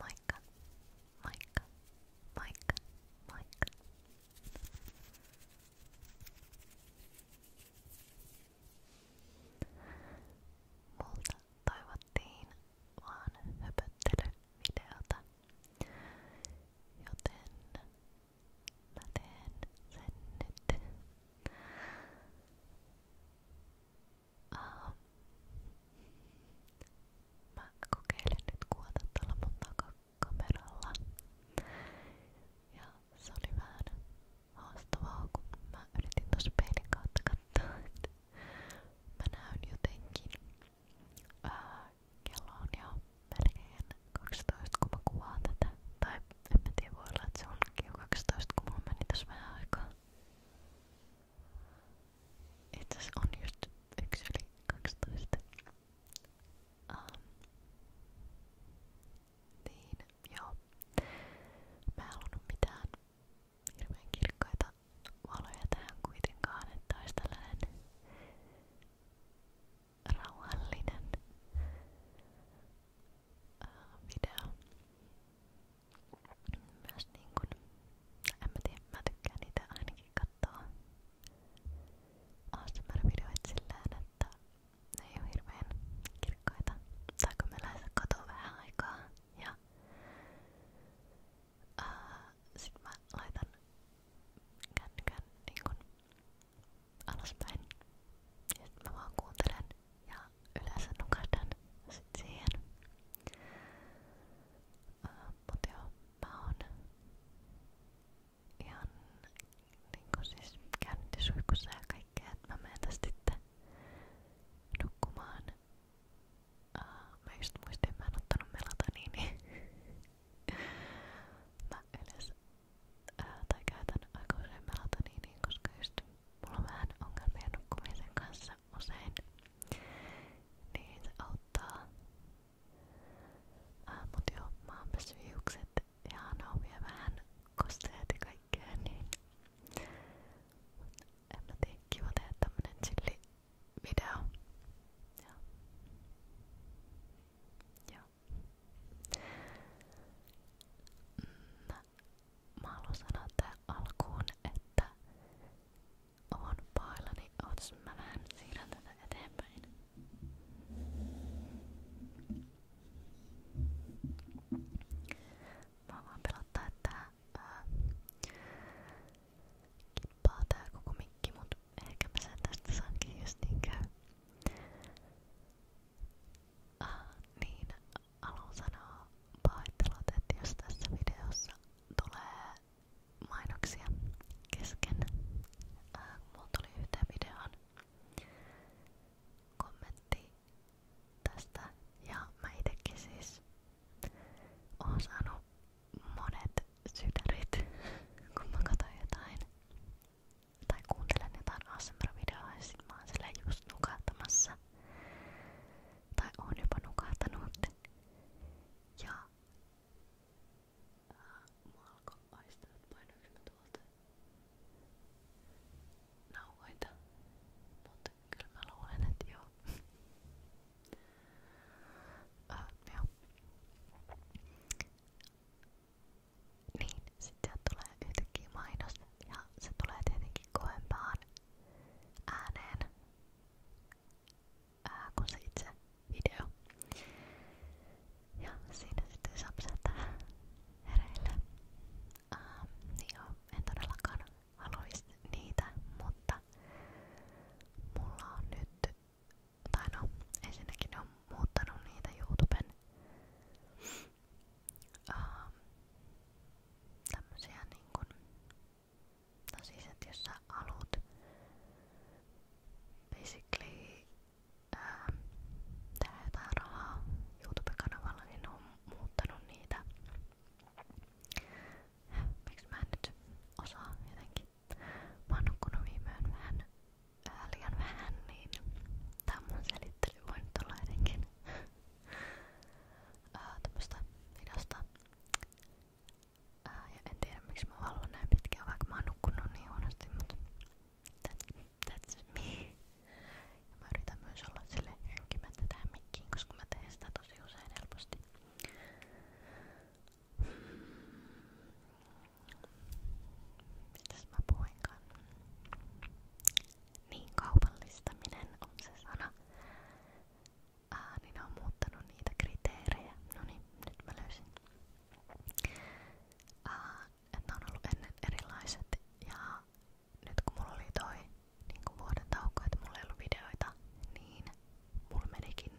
Moikka, moikka, moikka, moikka. Multa toivottiin vaan höpöttelyvideota, joten mä teen sen nyt. Uh, mä kokeilin nyt kuvata tuolla mun takakameralla. Ja se oli vähän haastavaa, kun mä yritin tuossa peilin kautta katsoa, että mä näyn jotenkin. Uh, kello on jo melkein 12, kun mä kuvaan tätä. Tai en mä tiedä, voi olla, että se onkin jo 12, kun mulla meni tässä vähän aikaa. Itse asiassa on just yksi yli 12. Um, niin, joo. Mä en halunnut mitään hirveän kirkkaita valoja tähän kuitenkaan, että olisi tällainen rauhallinen Äh, video. Myös niin kun, en mä tiedä, mä tykkään niitä ainakin katsoa ASMR-videoita silleen, että ne ei oo hirveen kirkkaita. Tai kun mä lähes katoo vähän aikaa ja ää, äh, sit mä laitan kännykän niin kun alaspäin. Ja sit mä vaan kuuntelen ja yleensä nukahdan sit siihen. Uh, mut joo, mä oon ihan niinku siis käynnintisuihkussa ja kaikkea, että mä menen tästä sitten nukkumaan. Uh, mä just muistin, mä en ottanut melatoniini. mä yleensä ää, tai käytän aika usein melatoniiniin, koska just mulla on vähän ongelmia nukkumisen kanssa usein, niin se auttaa. Ää, mut joo, mä oon pessyt hiukset ja naumia vähän kosteet ja kaikkea, niin en mä tiedä, kiva tehdä tämmönen chilli video. Joo. Joo. Mm, mä haluan sanoa tähän alkuun, että oon paillani. Ootas mä vähän siirrän tätä eteenpäin. Mä vaan pelottaa, että ää, kippaa tää koko mikki, mut ehkä mä sen tästä saankin just niin käy. Äh, niin, haluan sanoa pahoittelut, että jos tässä videossa tulee mainoksia kesken. Äh, mulla tuli yhteen videoon kommentti tästä ja mä itekin siis oon saanut monet sydärit, kun mä katsoin jotain tai kuuntelen jotain ASMR-videoa ja sit mä oon silleen just nukahtamassa. Tai oon jopa nukahtanut. Ja äh, mua alkoi aistaa, että painoinko mä tuolta nauhoita. Mutta kyllä mä luulen, että joo. uh, joo. Niin, sit sieltä tulee yhtäkkiä mainos ja se tulee tietenkin koempaan ääneen ää, kuin se itse video. Ja siinä sitten saa pysähtää hereille. Ähm, niin joo, en todellakaan haluaisi niitä, mutta mulla on nyt, tai no ensinnäkin ne on muuttanut niitä YouTuben ähm, tämmösiä niin kun, no siis että jos sä haluat basically ähm, tehdä jotain rahaa YouTube-kanavalla, niin ne on muuttanut niitä Miksi mä en nyt osaa jotenkin? Mä oon nukkunut viime yön vähän ää, liian vähän, niin tää on mun selittely voinut olla jotenkin ää, tämmöstä hidasta. Ää, ja en tiedä miksi mä valvon näin pitkään, vaikka mä oon nukkunut niin huonosti, mutta that's, that's me. Ja mä yritän myös olla sille henkimättä tähän mikkiin, koska mä teen sitä tosi usein helposti. Mitäs Niin kaupallistaminen on se sana. niin on muuttanut niitä kriteerejä. No niin, nyt erilaiset ja nyt kun mulla oli toi niin kun vuoden tauko, että mulla niin mulla menikin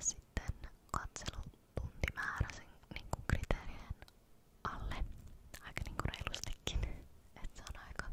sitten katselu tuntimäärä sen niin kuin kriteerien alle aika niin kuin reilustikin. Et se on aika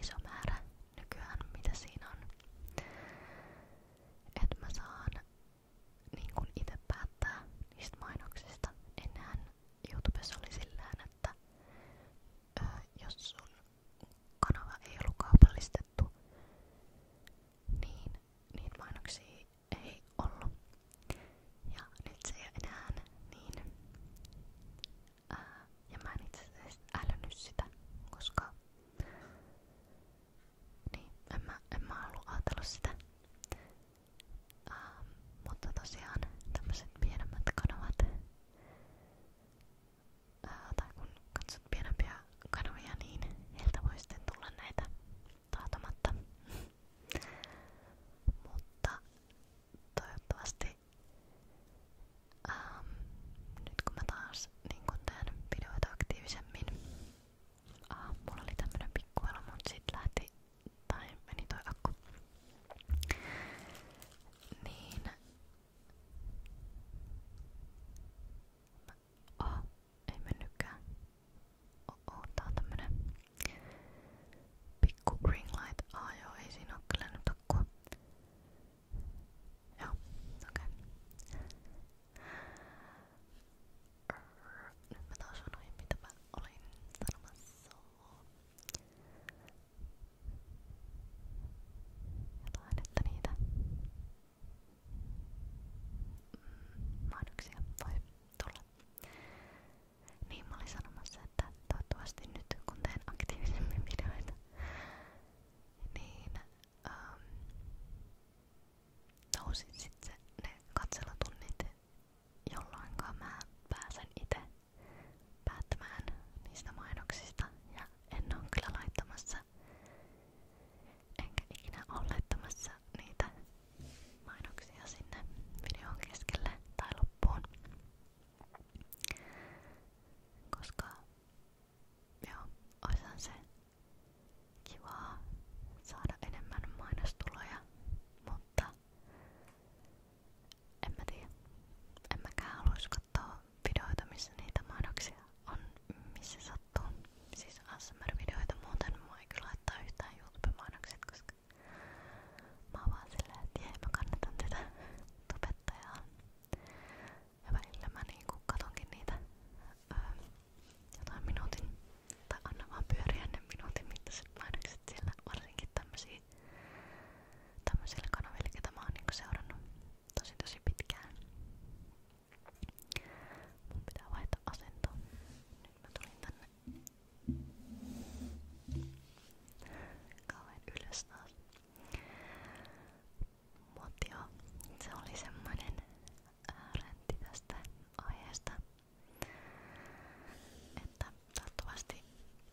iso määrä nykyään, mitä siinä on. Että mä saan niin kuin itse päättää niistä mainoksista. Ennenhän YouTubessa oli silleen, että ö, jos sun kanava ei ollut kaupallistettu, niin niitä mainoksia ei ollut. Ja nyt se ei ole enää niin. Ää, ja mä en itse asiassa älynnyt sitä, koska niin, en mä, en mä ollut ajatellut sitä. Ää, mutta tosiaan tämmöiset pienemmät kanavat, ää, tai kun katsot pienempiä kanavia, niin heiltä voi sitten tulla näitä taatamatta. Mutta toivottavasti ähm, nyt kun mä taas niin kun teen videoita aktiivisemmin, äh, mulla oli tämmönen pikkuelo, mut sit lähti tai meni toi akku. Niin mä Oh, ei mennytkään. Oh, oh, tää on tämmönen pikku green light. Ah joo, ei siinä oo kyllä nyt akkua. Joo, okei. Okay. Nyt mä taas sanoin mitä mä olin sanomassa. Jotain, että niitä mahdoksia voi tulla. Niin mä olin sanomassa, että toivottavasti nyt kun teen aktiivisemmin videoita, niin ähm, nousi sitten ne katselutunnit, jolloin mä pääsen itse päättämään niistä mainoksista ja en ole kyllä laittamassa enkä ikinä ole laittamassa niitä mainoksia sinne videon keskelle tai Koska joo, oishan se saada enemmän mainostuloja, mutta en mä tiedä. En videoita, missä niitä mainoksia on missä sattuu. Siis ASMR-videoita muuten mua ei kyllä laittaa yhtään YouTube-mainokset, koska mä oon vaan silleen, että jee, mä kannatan tätä tubettajaa. Ja välillä mä niinku katonkin niitä öö, jotain minuutin, tai anna vaan pyöriä ne minuutin mittaiset mainokset siellä, varsinkin tämmösiä tämmöisillä kanavilla, ketä mä oon niinku seurannut tosi tosi pitkään. Mun pitää vaihtaa asentoa. Nyt mä tulin tänne kauhean ylös taas. Mut joo, se oli semmonen äh, räntti tästä aiheesta. Että toivottavasti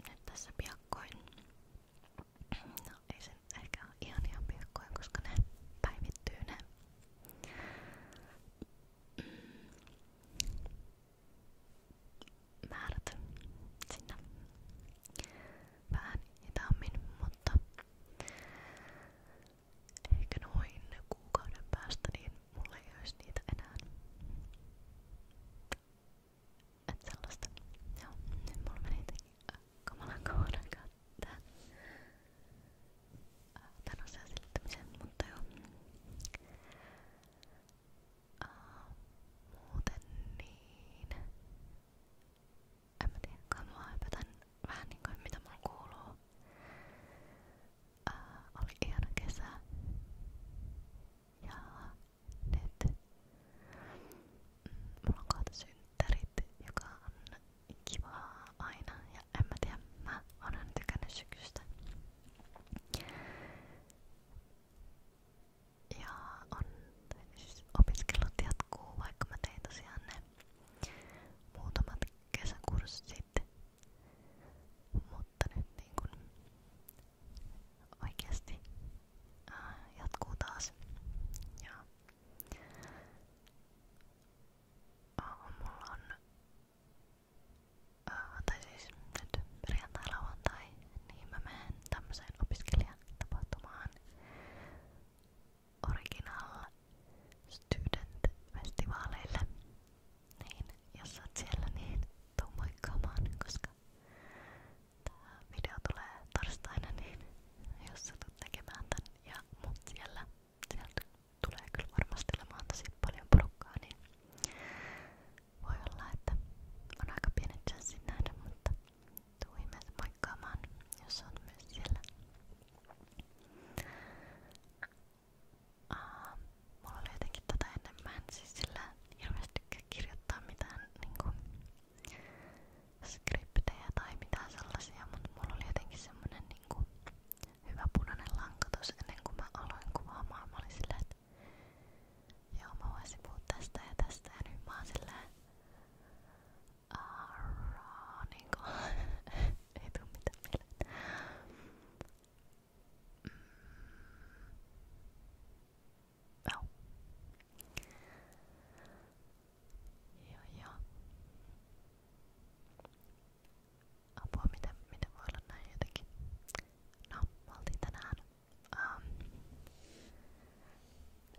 nyt tässä piakkoin. No ei sen ehkä ole ihan ihan piakkoin, koska ne päivittyy ne Mm. määrät sinne vähän hitaammin, mutta ehkä noin kuukauden päästä niin mulla ei olisi niitä enää. Et sellaista. Joo, nyt mulla meni jotenkin äh, kamalan kauan aikaa päättää äh, tämän asian selittämisen, mutta joo. Uh, muuten niin. En mä tiedä, kai mua hypätän vähän niin kuin mitä mun kuuluu. Uh, oli ihana kesä. Ja nyt mm, mulla on kohta synttärit, joka on kiva aina ja en mä tiedä, mä oon aina tykännyt syksystä. Ja on, siis opiskelut jatkuu, vaikka mä tein tosiaan ne muutamat kesäkurssit. Mutta nyt niin kun oikeasti ää, jatkuu taas. Ja Oh, mulla on, oh, tai siis nyt perjantai-lauantai, niin mä menen tämmöiseen opiskelijatapahtumaan Original Student Festivaaleille. Niin, jos sä oot siellä, niin tuu moikkaamaan, koska tää video tulee torstaina, niin jos sä tulet tekemään tän ja mut siellä, sieltä tulee kyllä varmasti olemaan tosi paljon porukkaa, niin voi olla, että on aika pienet chanssit nähdä, mutta tuu ihmeessä moikkaamaan, jos on myös siellä. Uh, mulla oli jotenkin tätä tota ennen, mä en siis sillä hirveästi tykkää kirjoittaa mitään niinku skriptejä tai mitään sellaisia, mutta mulla oli jotenkin semmonen niinku hyvä punainen lanka tossa ennen kuin mä aloin kuvaamaan. Mä olin silleen, että joo mä voisin puhua tästä ja tästä ja nyt mä oon silleen Aaraa, niinku ei tuu mitään mieleen. Mm. No. Ja, ja. Apua, miten, miten voi olla näin jotenkin? No, me oltiin tänään ähm,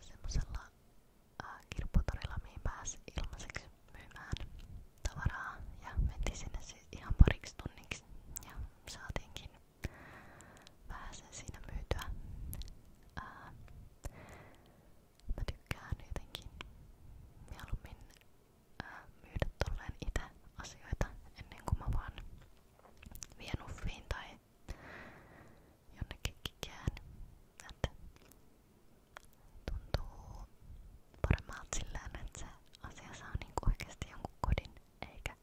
semmosella äh, kirpputorilla, mihin pääsi ilmaiseksi myymään tavaraa ja mentiin sinne siis ihan pariksi tunniksi ja saatiinkin vähän sen siinä myytyä. Ää, äh, Mä tykkään jotenkin mieluummin ää, äh, myydä tolleen itse asioita ennen kuin mä vaan vien uffiin tai jonnekin kikään. Että tuntuu paremmalta sillään, että se asia saa niinku oikeesti jonkun kodin eikä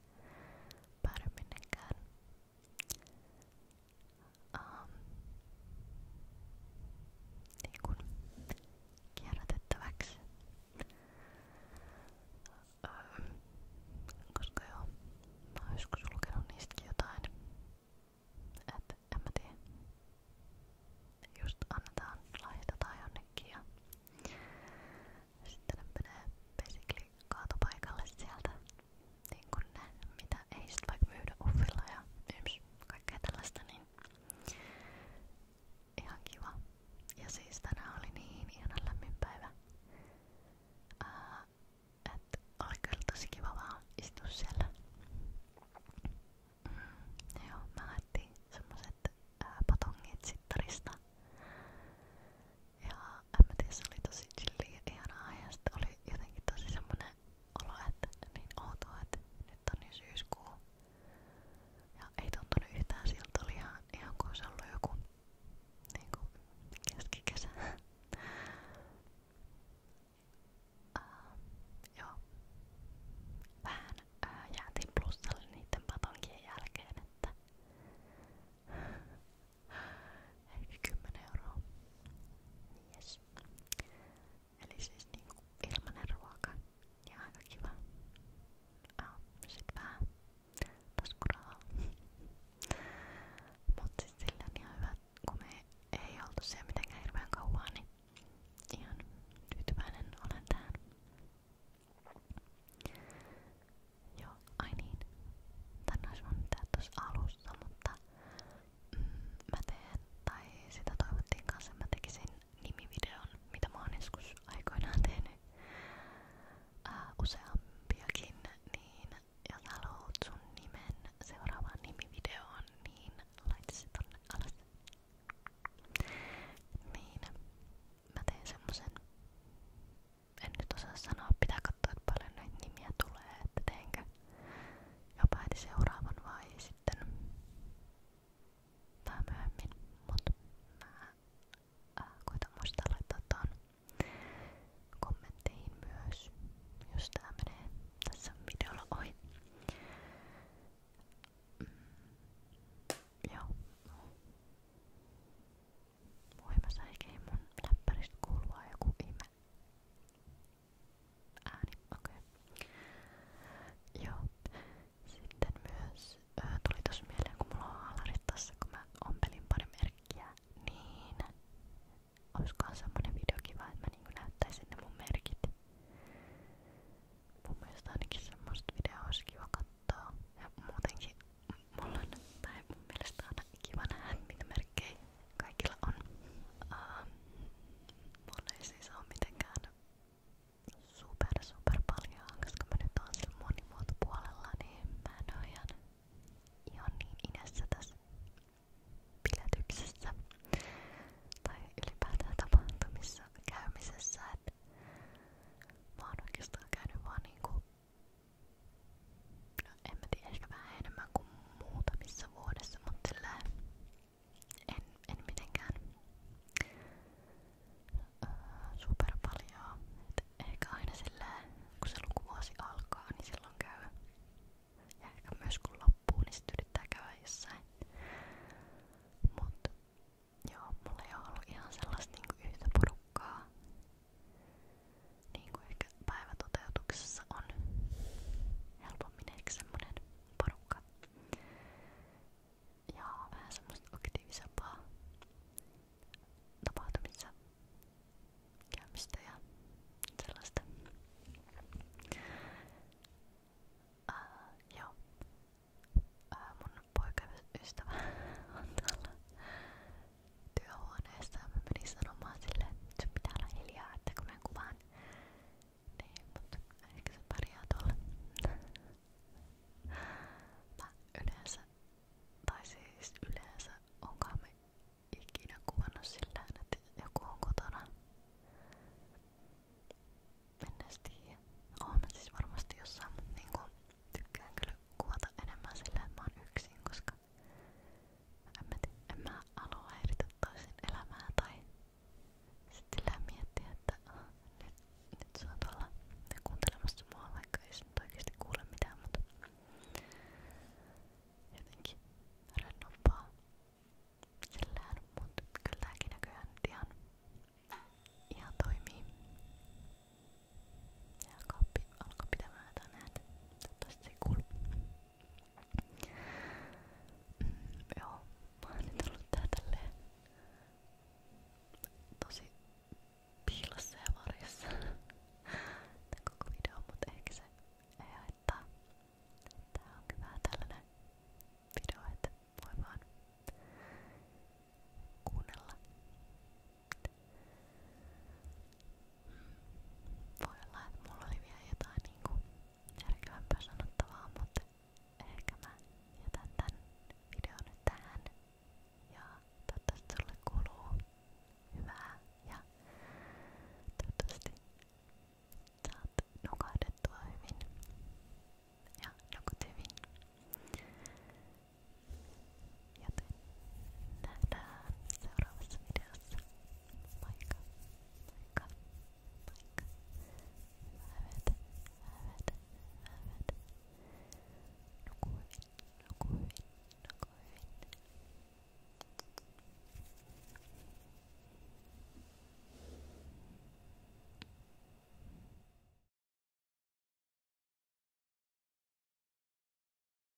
päädy minnekään ähm, niin kuin kierrätettäväksi. Ähm, koska joo, mä oon joskus lukenut niistäkin jotain. Et en mä tiedä. Just annetaan, laihdetaan jonnekin ja sitten ne menee basically kaatopaikalle sieltä niin kuin ne, mitä ei sit vaikka myydä uffilla ja yms, kaikkea tällaista, niin ihan kiva. Ja siis tänään oli niin ihana lämmin päivä, Ää, et oli kyllä tosi kiva vaan istua siellä. Mm, joo, mä lähdettiin semmoset ää, patongit sittarista. Ja en mä tiedä, se oli tosi chilli ja ihanaa ja sit oli jotenkin tosi semmonen olo, että niin outoa, että nyt on jo syyskuu. Ja ei tuntunut yhtään siltä, oli ihan, ihan kuin se ollut joku niin kuin keskikesä. uh, joo. Vähän uh, jäätiin plussalle niiden patonkien jälkeen, että 10 euroa. Yes. Eli siis niinku ilmanen ruoka ja aika kiva. Ah, sit vähän taskurahaa. Mut sit sillä on ihan hyvä, kun me ei oltu siellä mitenkään hirveän kauan, niin ihan tyytyväinen olen tähän. Joo, ai niin. Tän olisi voinut tehdä tuossa alussa, mutta mä teen, tai sitä toivottiin kanssa, mä tekisin nimivideon, mitä mä oon joskus aikoinaan tehnyt ää, useampiakin, niin jos haluat sun nimen seuraavaan nimivideoon, niin laita se tonne alas. Niin, mä teen semmosen. En nyt osaa sanoa, pitää katsoa, että paljon näitä nimiä tulee, että teenkö jopa heti seuraavan vai sitten vähän myöhemmin, mutta mä äh, koitan muistaa laittaa tuon kommentteihin myös, jos tää menee tässä videolla ohi. Mm, joo. Voi mä säikein mun läppäristä kuulua joku ihme ääni, okei. Okay. Joo. Sitten myös ö, tuli tossa mieleen, kun mulla on haalarit tässä, kun mä ompelin pari merkkiä, niin olisikohan semmonen video kiva, että mä niinku näyttäisin ne mun merkit. Mun mielestä ainakin semmoista videoa olisi kiva katsoa. Ja muutenkin mulla on, tai mun mielestä on kiva nähdä, mitä merkkejä Kaikilla on. Uh, mulla ei siis ole mitenkään super super paljon, koska mä nyt oon sillä monimuotopuolella, niin mä en oo ihan, ihan niin inessä tässä piletyksessä tai ylipäätään tapahtumissa käymisessä, että mä oon oikeastaan käynyt vaan niinku no en mä tiedä, ehkä vähän enemmän kuin muutamissa vuodessa, mutta en, en mitenkään öö, super paljon. Et ehkä aina sillä, kun se lukuvuosi alkaa, niin silloin käy. Ja ehkä myös kun loppuu, niin sit yrittää käydä jossain. Mut joo, mulla ei oo ollut ihan sellaista niinku yhtä porukkaa niin kuin ehkä päivätoteutuksessa on helpommin ehkä semmonen porukka ja vähän semmoista aktiivisempaa tapahtumissa käymistä ja sellaista. Uh, joo. Uh, mun poikaystävä on täällä työhuoneessa ja mä menin sanomaan sille, että sun pitää olla hiljaa, että kun mä kuvaan. Niin, mutta ehkä se pärjää tuolla. mä yleensä, tai siis yleensä onkaan me ikinä kuvannut sillä että joku on kotona. Mennäs tiiä. Oon mä siis varmasti jossain, mutta niinku, tykkään kyllä kuvata enemmän sillä, että mä oon yksin, koska en mä, en mä halua häiritä toisen elämää tai sitten sillä miettiä, että ah, nyt, nyt sä oot olla kuuntelemassa mua, vaikka ei se nyt oikeesti kuule mitään, mutta jotenkin rennompaa sillään, mutta kyllä tääkin näköjään nyt ihan, ihan toimii. Ja kauppi alkoi pitämään jotain ääntä. Toivottavasti se ei kuulu. Mm, joo, mä oon nyt ollut tää tälleen tosi piilossa ja varjossa tän koko video, mutta ehkä se ei haittaa. Tää onkin vähän tällainen video, että voi vaan kuunnella voi olla, että mulla oli vielä jotain niinku järkevämpää sanottavaa, mutta ehkä mä jätän tän videon nyt tähän. Ja toivottavasti sulle kuuluu hyvää ja toivottavasti saat nukahdettua hyvin ja nukut hyvin. Joten nähdään seuraavassa videossa. Moikka! Moikka! Moikka! Hyvää yötä! Hyvää yötä! Hyvää yötä! Nuku hyvin! Nuku hyvin! Nuku hyvin!